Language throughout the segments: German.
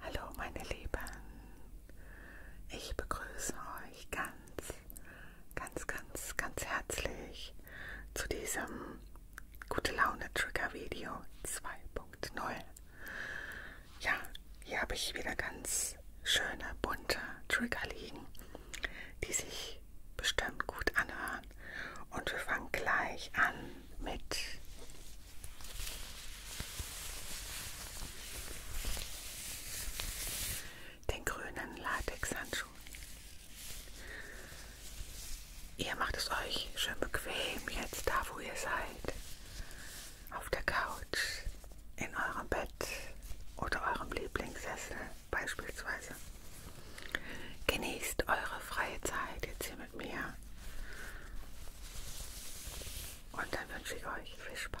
Hallo meine Lieben, ich begrüße euch ganz, ganz, ganz, ganz herzlich zu diesem Gute Laune Trigger Video 2.0. Ja, hier habe ich wieder ganz schöne bunte Trigger liegen die sich bestimmt gut anhören. Und wir fangen gleich an mit den grünen Latex-Handschuhen. Ihr macht es euch schön bequem jetzt da, wo ihr seid. Auf der Couch, in eurem Bett oder eurem Lieblingssessel beispielsweise. Genießt eure freie Zeit jetzt hier mit mir. Und dann wünsche ich euch viel Spaß.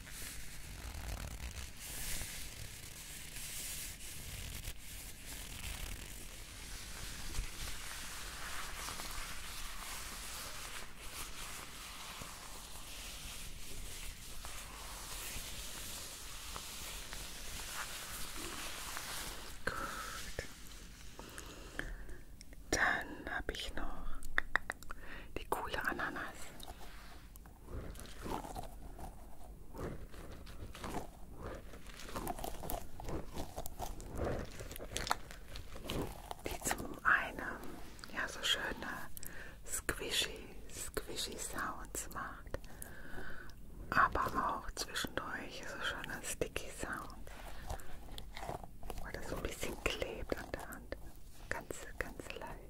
Gut. Dann habe ich noch die coole Ananas die zum einen ja so schöne squishy, squishy Sounds macht, aber auch zwischendurch so schöne sticky Sounds, weil das so ein bisschen klebt an der Hand, ganz, ganz leicht.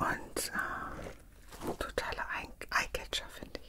Und äh, totaler Eyecatcher, finde ich.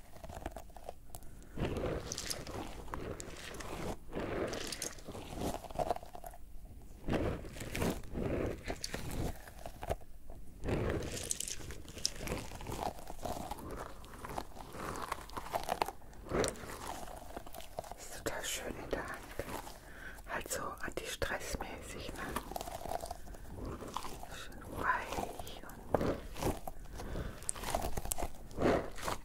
Ist total schön in der Hand. Halt so antistressmäßig, ne? Schön weich und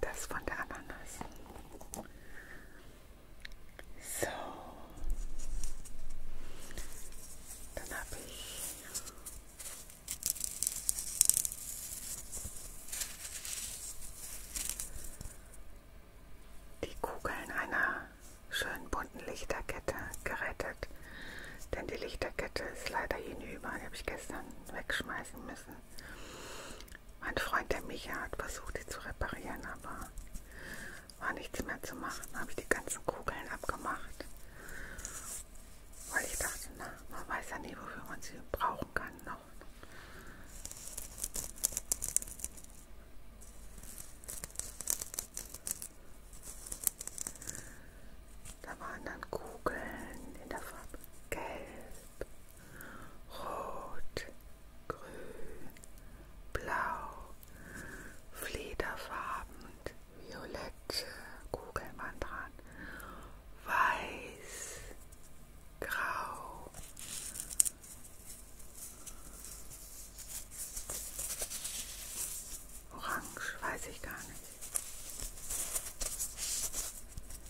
Das von der Ananas. So. Dann habe ich die Kugeln einer schönen bunten Lichterkette gerettet. Denn die Lichterkette ist leider hinüber. Die habe ich gestern wegschmeißen müssen. Mein Freund, der Micha, hat versucht, die zu reparieren, aber war nichts mehr zu machen. Habe ich die ganzen Kugeln abgemacht, weil ich dachte, na, man weiß ja nie, wofür man sie brauchen kann noch. Da waren dann Kugeln in der Farbe Gelb, Rot, Grün, Blau, Flederfarben, Violette, Kugelmann dran, Weiß, Grau. Orange, weiß ich gar nicht.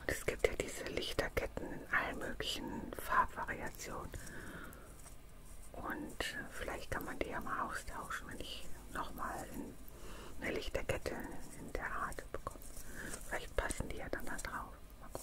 Und es gibt ja diese Lichterketten in allen möglichen Farbvariationen. Und äh, vielleicht kann man die ja mal austauschen, wenn ich nochmal eine Lichterkette in der Art bekomme gucken. Vielleicht passen die ja dann da drauf. Mal gucken.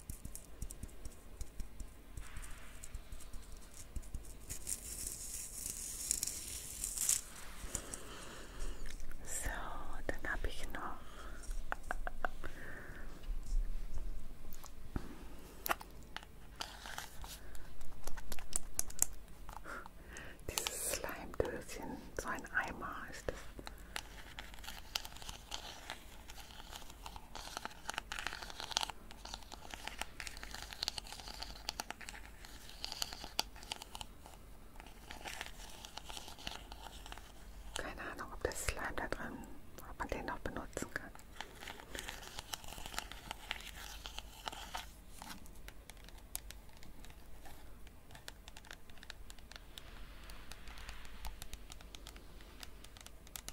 So, dann habe ich noch dieses Slime-Döschen, so ein Eimer ist es. Keine Ahnung, ob das Slime da drin, ob man den noch benutzen kann.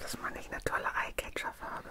Dass man nicht eine tolle Eyecatcher-Farbe.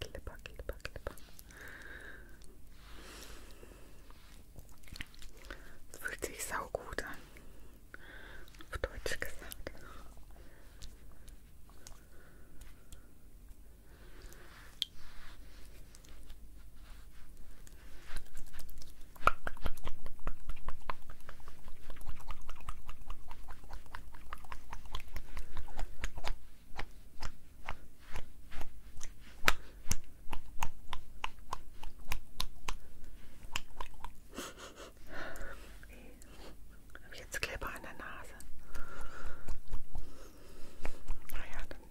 Klipper, klipper, klipper. Das fühlt sich saugut an. Auf Deutsch gesagt. Habe ich jetzt Kleber an der Nase? Naja, dann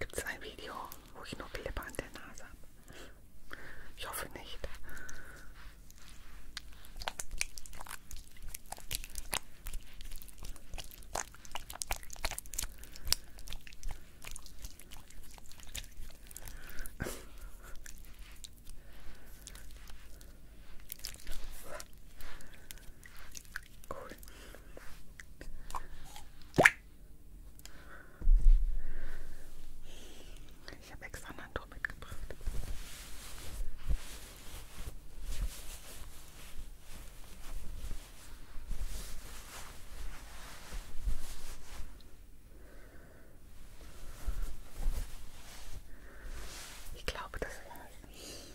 Gibt es ein Video, wo ich nur Klippe an der Nase habe? Ich hoffe nicht. Cool. Ich habe extra ein Handtuch mitgebracht. Ich glaube, das war's.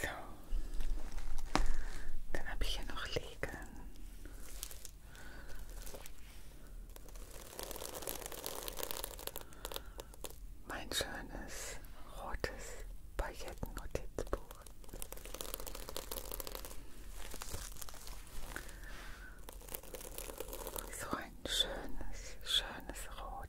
So, dann habe ich hier noch liegen. Mein schönes rotes Paillettennotizbuch. So ein schönes, schönes Rot.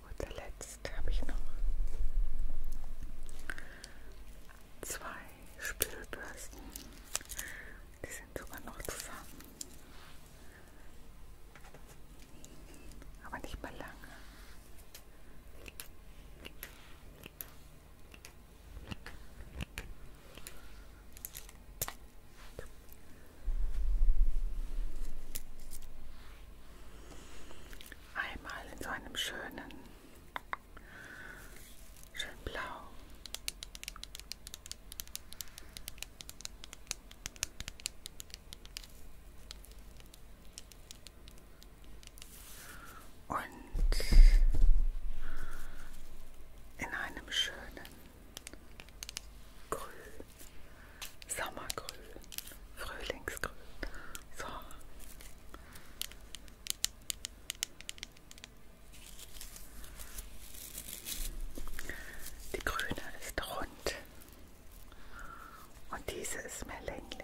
zu guter Letzt habe ich noch zwei Spülbürsten. Die sind sogar noch zusammen. Aber nicht mehr lange. Einmal in so einem schönen, schön blau. Und in einem schönen Grün, Sommergrün, Frühlingsgrün. So. Die grüne ist rund und diese ist mehr länglich.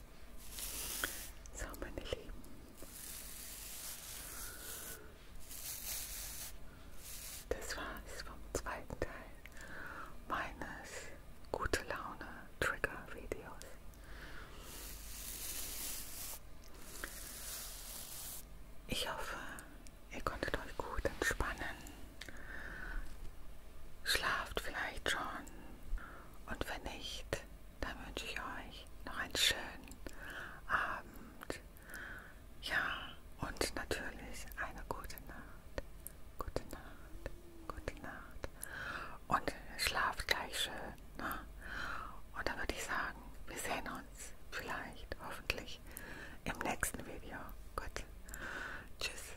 So, meine Lieben. Das war's vom zweiten Teil meines gute Laune Trigger Videos. Ich hoffe, ihr konntet euch gut entspannen. Schlaft vielleicht schon und wenn nicht, dann wünsche ich euch noch einen schönen Abend. Ja, und natürlich eine gute Nacht. Gute Nacht, gute Nacht. Und schlaft gleich schön. Ne? Und dann würde ich sagen, wir sehen uns vielleicht, hoffentlich, im nächsten Video. Gut. Tschüss.